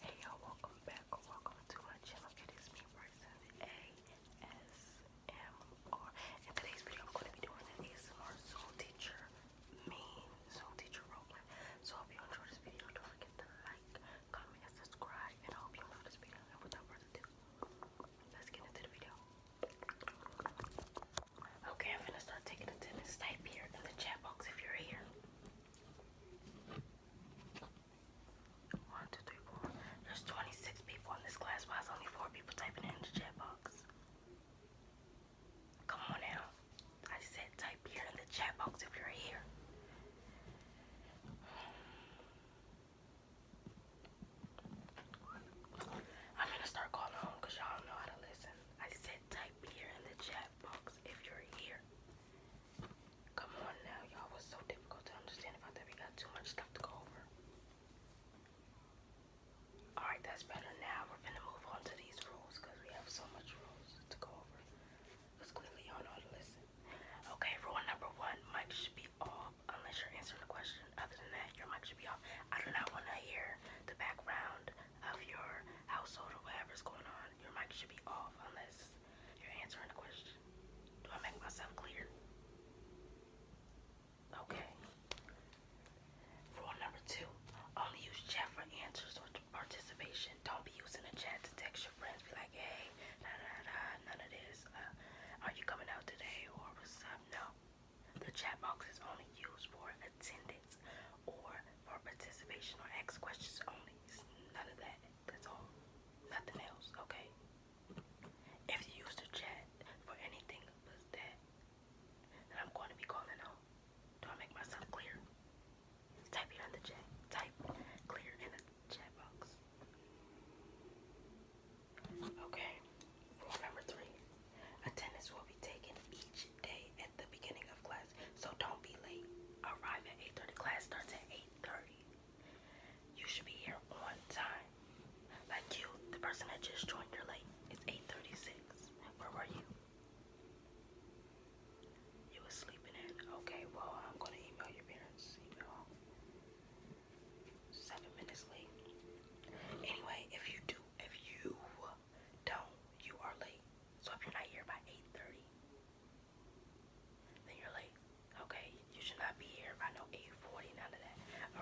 Hey y'all, welcome back or welcome to my channel. It is me, Bryson ASMR. In today's video, I'm going to be doing an ASMR Zoom teacher, me Zoom teacher roleplay. So I hope you enjoy this video. Don't forget to comment, and subscribe. And I hope you love this video. And without further ado, let's get into the video. Okay, I'm gonna start taking attendance. Type here in the chat box if you're here. One, two, three, four. There's 26 people in this class. Why is only four people typing in the chat box? Come on now. I said type here in the chat box if you're here. I'm gonna start calling home because y'all don't know how to listen. I said type here in the chat box if you're here. Come on now, y'all was so difficult to understand about that. We got too much stuff to go over. Alright, that's better now. We're gonna move on to these rules we have so much rules to go over. Because clearly y'all know to listen. Okay, rule number one, mic should be off unless you're answering the question. Other than that, your mic should be off. I do not want to hear the background of your household or whatever is going on. Your mic should be off unless you're answering the question. Do I make myself clear? Okay. Rule number two, only use chat for answers or participation. Don't be using the chat to text you friends be like, hey, da da da, none of this. Uh, are you coming out today or what's up? No. The chat box is only used for attendance or for participation or ask questions only. none of that. That's all. Nothing else, okay? If you use the chat for anything but that, then I'm going to be calling out. Do I make myself clear? Type it in the chat. Type clear in the chat box. Okay, rule number three attendance will be taken each day at the beginning of class, so don't be late. Arrive at 8:30. Class starts at 8:30. You should be here on time. Like you, the person that just joined, you're late. It's 8:36. Where were you? You were sleeping in. Okay, well I'm gonna email your parents. Email seven minutes late. Anyway, if you do, if you don't, you are late. So if you're not here by 8.30, then you're late. Okay, you should not be here by no 8.40, none of that.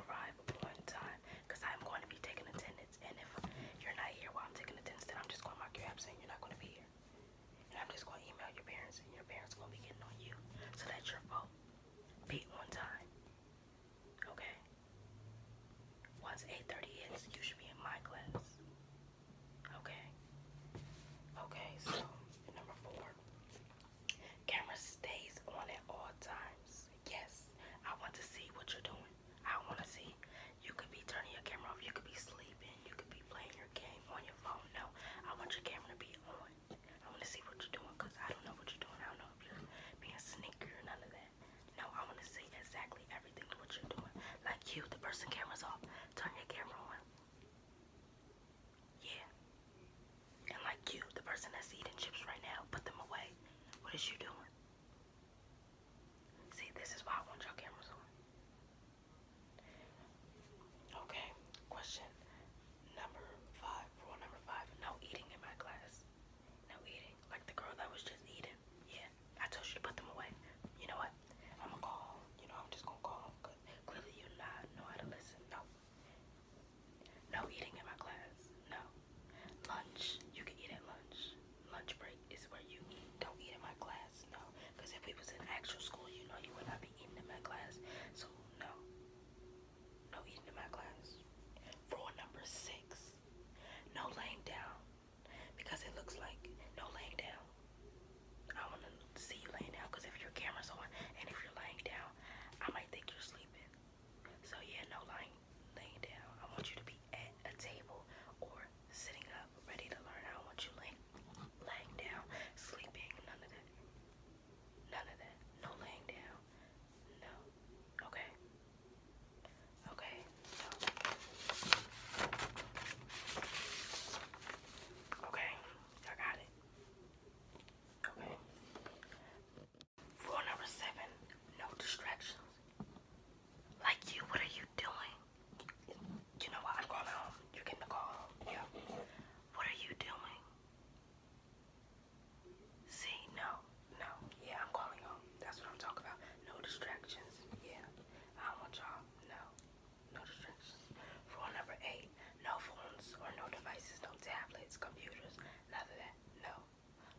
Arrive on time, because I'm going to be taking attendance. And if you're not here while I'm taking attendance, then I'm just going to mark your absent. You're not going to be here. I'm just gonna email your parents and your parents gonna be getting on you. So that's your fault. Be on time. Okay? Once 8.30 hits, you should be in my class. Okay? Okay, so number four. Camera stays on at all times. Yes. I want to see what you're doing. I want to see. You could be turning your camera off. You could be sleeping. You could be playing your game on your phone. No, I want your camera to be on. I want to see what you're doing because I don't know what you're doing. I don't know if you're being sneaky or none of that. No, I want to see exactly everything what you're doing. Like you, the person camera's off. Turn your camera on. Yeah. And like you, the person that's eating chips right now, put them away. What is you doing? See, this is why I want your cameras on. Okay, question number five. Rule number five no eating in my class. No eating. Like the girl that was just eating. Yeah, I told you to put them away. You know what? I'm gonna call. You know, I'm just gonna call. Cause clearly, you not know how to listen. No. No eating in my class. No. Lunch. You can eat at lunch. Lunch break is where you eat. Don't eat in my class. No. Because if we was in actual school, you know you would not be eating in my class. So no. No eating in my class. Rule number six. No laying down. Because it looks like no laying down. I want to see you laying down because if your camera's on and if you're laying down, I might think you're sleeping. So yeah, no lying, laying down. I want you to be at a table or sitting up, ready to learn. I don't want you laying, laying down, sleeping, none of that. None of that. No laying down. No. Okay. Okay. So. Okay. I got it. Okay. Rule number seven. No distractions. Like you, what are you doing? You know what? I'm going home. You're getting a call. Yeah. What are you doing? See, no, no. Yeah, I'm calling home. That's what I'm talking about. No distractions. Yeah. I want y'all. No. No distractions. Rule number eight. No phones or no devices, no tablets, computers, none of that. No.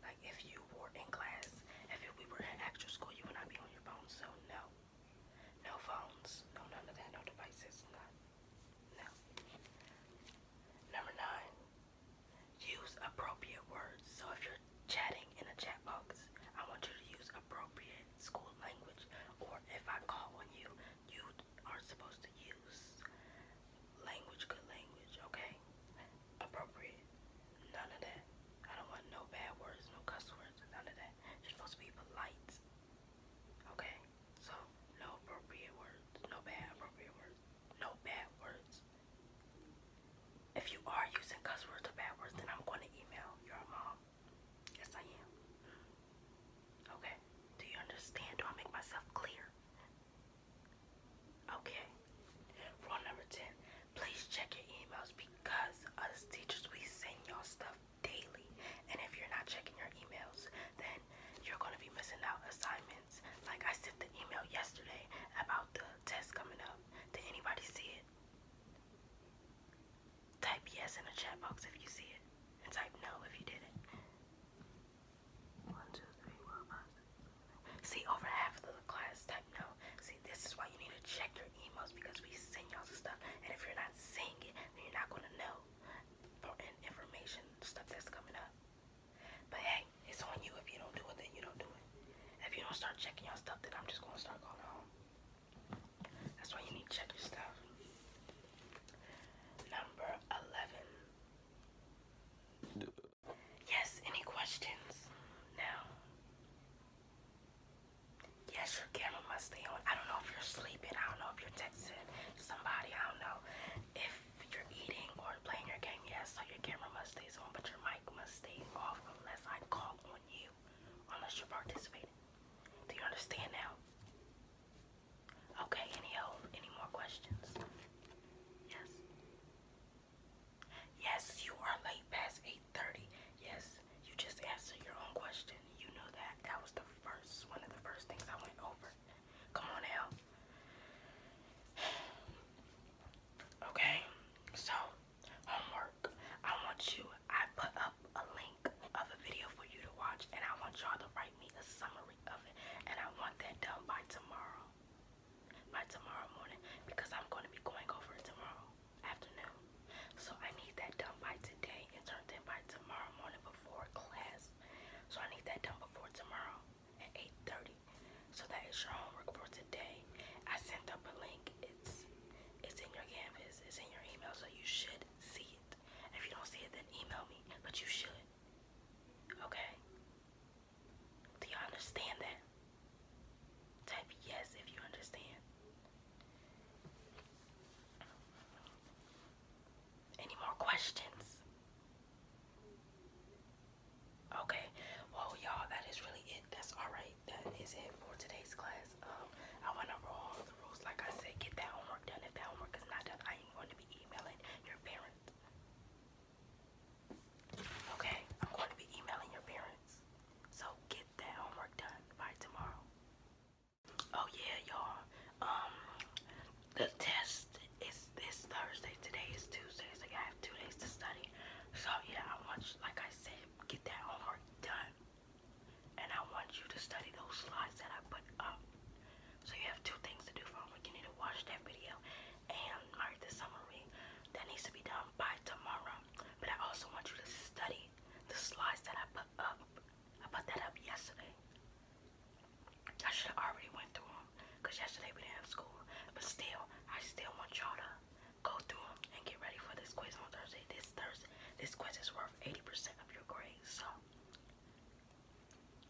Like if you were in class, if we were in actual school, you would not be on your phone. So no. No phones. No, none of that. No devices. None. Number nine, use appropriate words. So if you're chatting in a chat box, I want you to use appropriate school language. Or if I call on you, you are supposed to use language, good language, okay? Appropriate. None of that. I don't want no bad words, no cuss words, none of that. You're supposed to be polite. Okay, so no appropriate words, no bad appropriate words, no bad words. If you are using cuss words or bad words, then I'm going to email your mom. Yes, I am. Okay, do you understand? Do I make myself clear? Okay, rule number 10 please check your emails because as teachers, we send your stuff daily. And if you're not checking your emails, then you're going to be missing out assignments. Like I sent the email yesterday about the test coming up. Did anybody see it? Type yes in the chat box if you see it, and type no if you didn't. One, two, three, four, five, six, seven. See, over half of the class type no. See, this is why you need to check your emails because we send y'all stuff, and if you're not seeing it, then you're not gonna know important information, stuff that's coming up. But hey, it's on you. If you don't do it, then you don't do it. If you don't start checking your stuff, then I'm just gonna start going home. That's why you need to check your stuff. Number 11. Yes, any questions? Now. Yes, your camera must stay on. I don't know if you're sleeping. I don't know if you're texting somebody, I don't know. If you're eating or playing your game, yes, so your camera must stay on, but your mic must stay off unless I call on you, unless you're participating. Do you understand now? Okay, any any more questions? Yes. Yes, you are late past 8.30. Yes, you just answered your own question. You knew that. That was the first, one of the first things I went over. Come on now. Okay, so homework. I want you, I put up a link of a video for you to watch, and I want y'all to write me a summary of it. And I want that done by tomorrow. By tomorrow morning, because I'm going to be going over it tomorrow afternoon. So I need that done by today and turned in by tomorrow morning before class so I need that done before tomorrow at 8.30. So that is your homework for today. I sent up a link. It's it's in your canvas. It's in your email. So you should see it. If you don't see it, then email me. But you should. Okay? Do you understand that? Type yes if you understand. Any more questions? Okay, well, y'all, that is really it. That's all right. That is it for today's class. Um, I went over all the rules. Like I said, get that homework done. If that homework is not done, I am going to be emailing your parents. Okay, I'm going to be emailing your parents. So get that homework done by tomorrow. Oh yeah, y'all. Um, the test is this Thursday. Today is Tuesday, so I have two days to study. So yeah, I want you, like I said, get that homework done, and I want you to study those slides that I put up. So you have two things to do for homework. You need to watch that video and write the summary. That needs to be done by tomorrow. But I also want you to study the slides that I put up I put that up yesterday. I should have already went through them because yesterday we didn't have school. But still, I still want y'all to go through them and get ready for this quiz on Thursday. This Thursday, this quiz is worth 80% of your grade. So,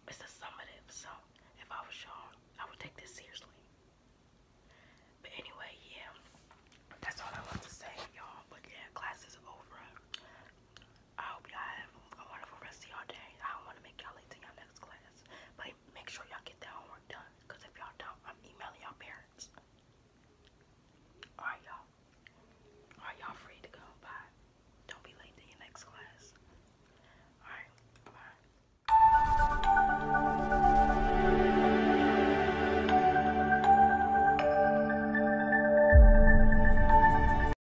it's a summative. So, if I was y'all, I would take this seriously. But anyway, yeah, that's all I want to say, y'all. But yeah, class is over. I hope y'all have a wonderful rest of y'all day. I don't want to make y'all late to y'all next class. But make sure y'all get that homework done. Because if y'all don't, I'm emailing y'all parents. Alright, y'all. Alright, y'all free to go. Bye. Don't be late to your next class. Alright, bye.